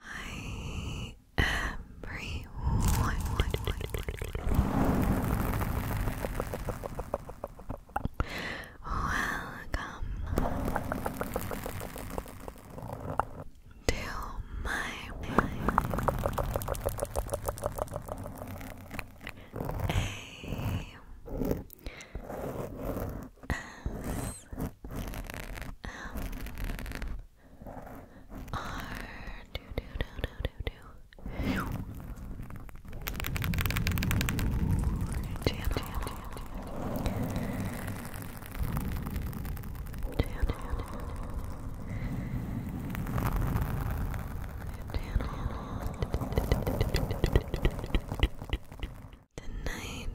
Hi everyone. Welcome to my Tonight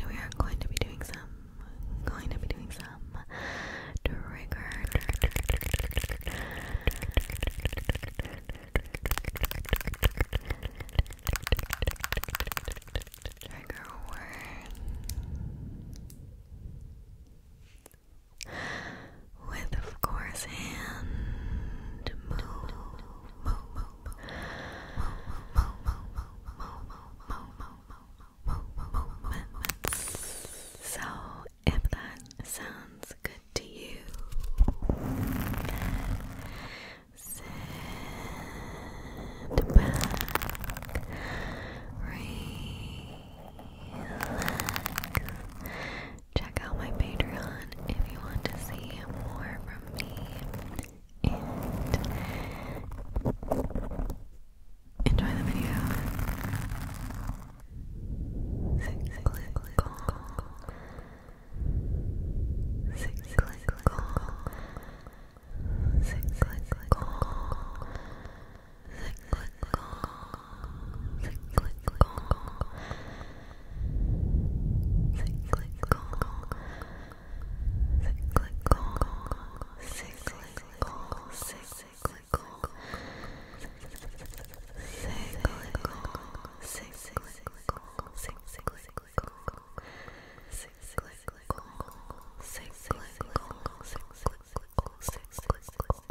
we are going to be doing some going to be doing some trigger, words with, of course, hand so, if that sounds good to you, sit back, relax. Check out my Patreon if you want to see more from me. Enjoy the video cyclical, cyclical, cyclical, cyclical, cyclical, cyclical, cyclical,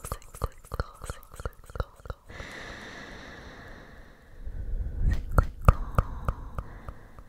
Cyclical,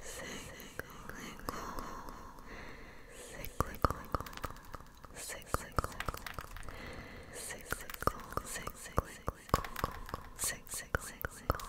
cyclical, cyclical, cyclical, cyclical, cyclical, cyclical, cyclical, cyclical, cyclical, cyclical,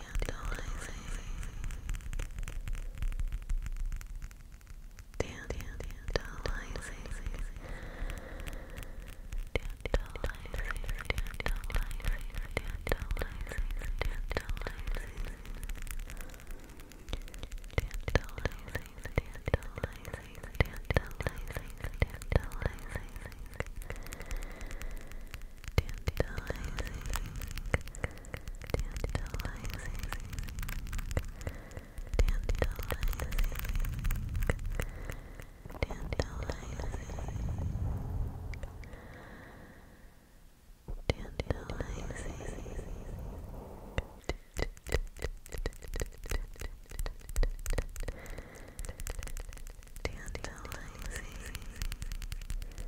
tantalizing, tantalizing, Tantalizing, Tantalizing. Tantalizing. Tantalizing. Tantalizing. Tantalizing. Tantalizing.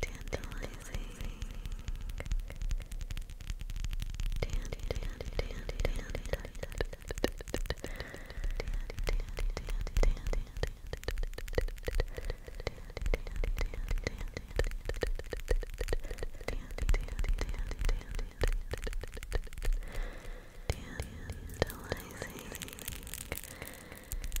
tantalizing dandy dandy dandy dandy Tantalizing, tantalizing,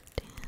Tantalizing,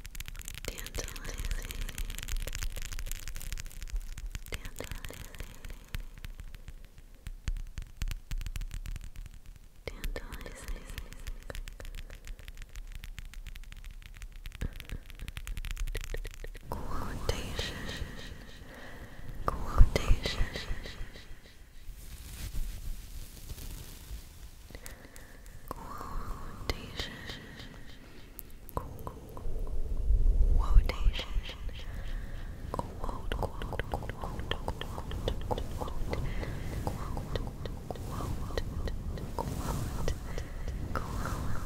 Tenta Tenta Tenta Quotation Quotation Quotation Quotation. Quote, quote, quote, quote, quote, quote, quote, quote, quote, Quotation. Quotation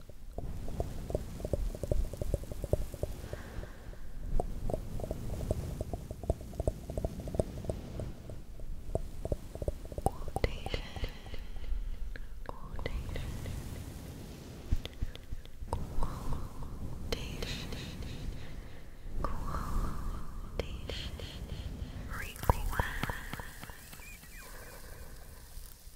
Quotation, quotation, quotation, quotation, request,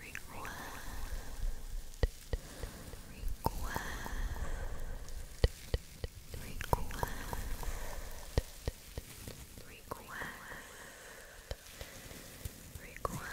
Request. Request. Request. Request. Request. Request.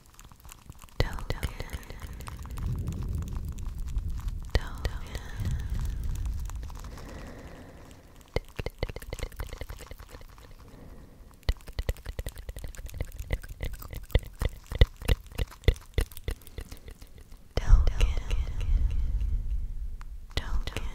Token. Token. Token. Token. Token.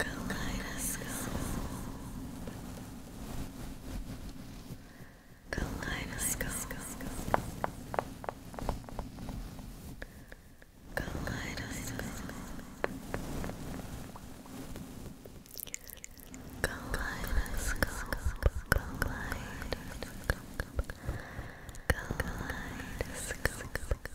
Kaleidoscope Kaleidoscope. Kaleidoscope. Kaleidoscope. Kaleidoscope. Kaleidoscope. Kaleidoscope.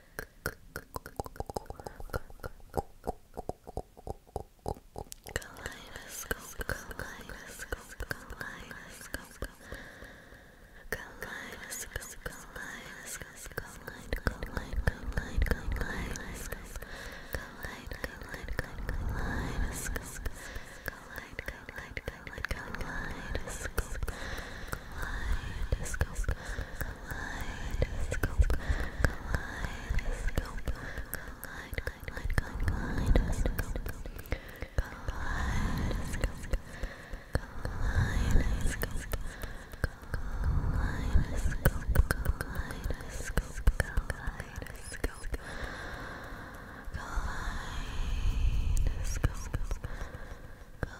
Kaleidoscope, kaleidoscope, kaleidoscope. Kaleidoscope, kaleidoscope, kaleid, kaleid, kaleid, kaleidoscope. Kaleid, kaleid, kaleidoscope. Kaleid, kaleid, kaleid, kaleidoscope. Kaleidoscope, kaleidoscope, kaleidoscope, kaleid, kaleidoscope, kaleidoscope, kaleidoscope, kaleidoscope, kaleidoscope, kaleidoscope, Kaleidoscope, complicated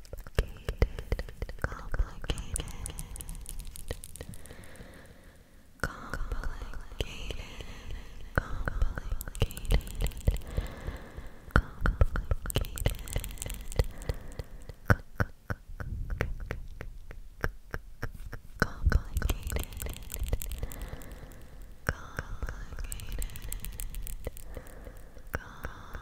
complicated, complicated, complicated, complicated, complicated. Complicated, complicated, complicated,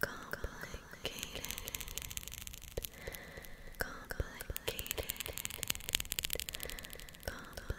complicated, complicated, complicated,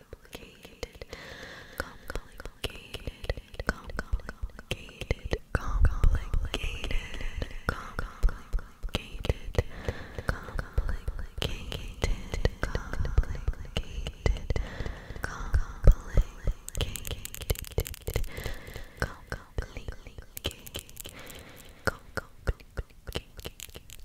complicated, complicated, complicated, complicated, complicated, complicated, complicated, complicated, complicated, complicated,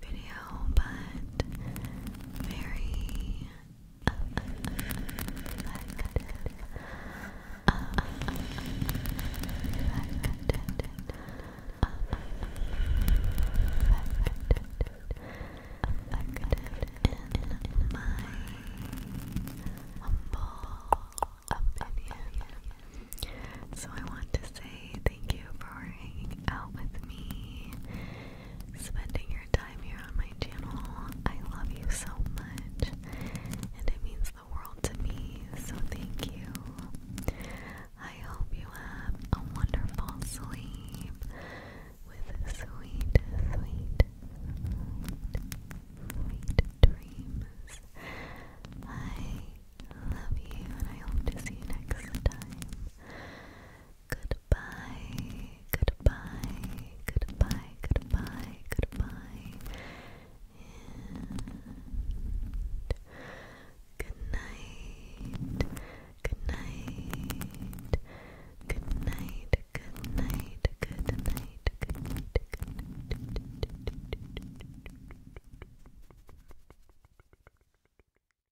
video, but very in my humble opinion. So I want to say Thank you for hanging out with me, spending your time here on my channel. I love you so much, and it means the world to me, so thank you. I hope you have a wonderful sleep with sweet, sweet, sweet, dreams. I love you, and I hope to see you next time. Goodbye, goodbye, goodbye, goodbye, goodbye, and good night, good night, good night, good night, good night, good night, good night.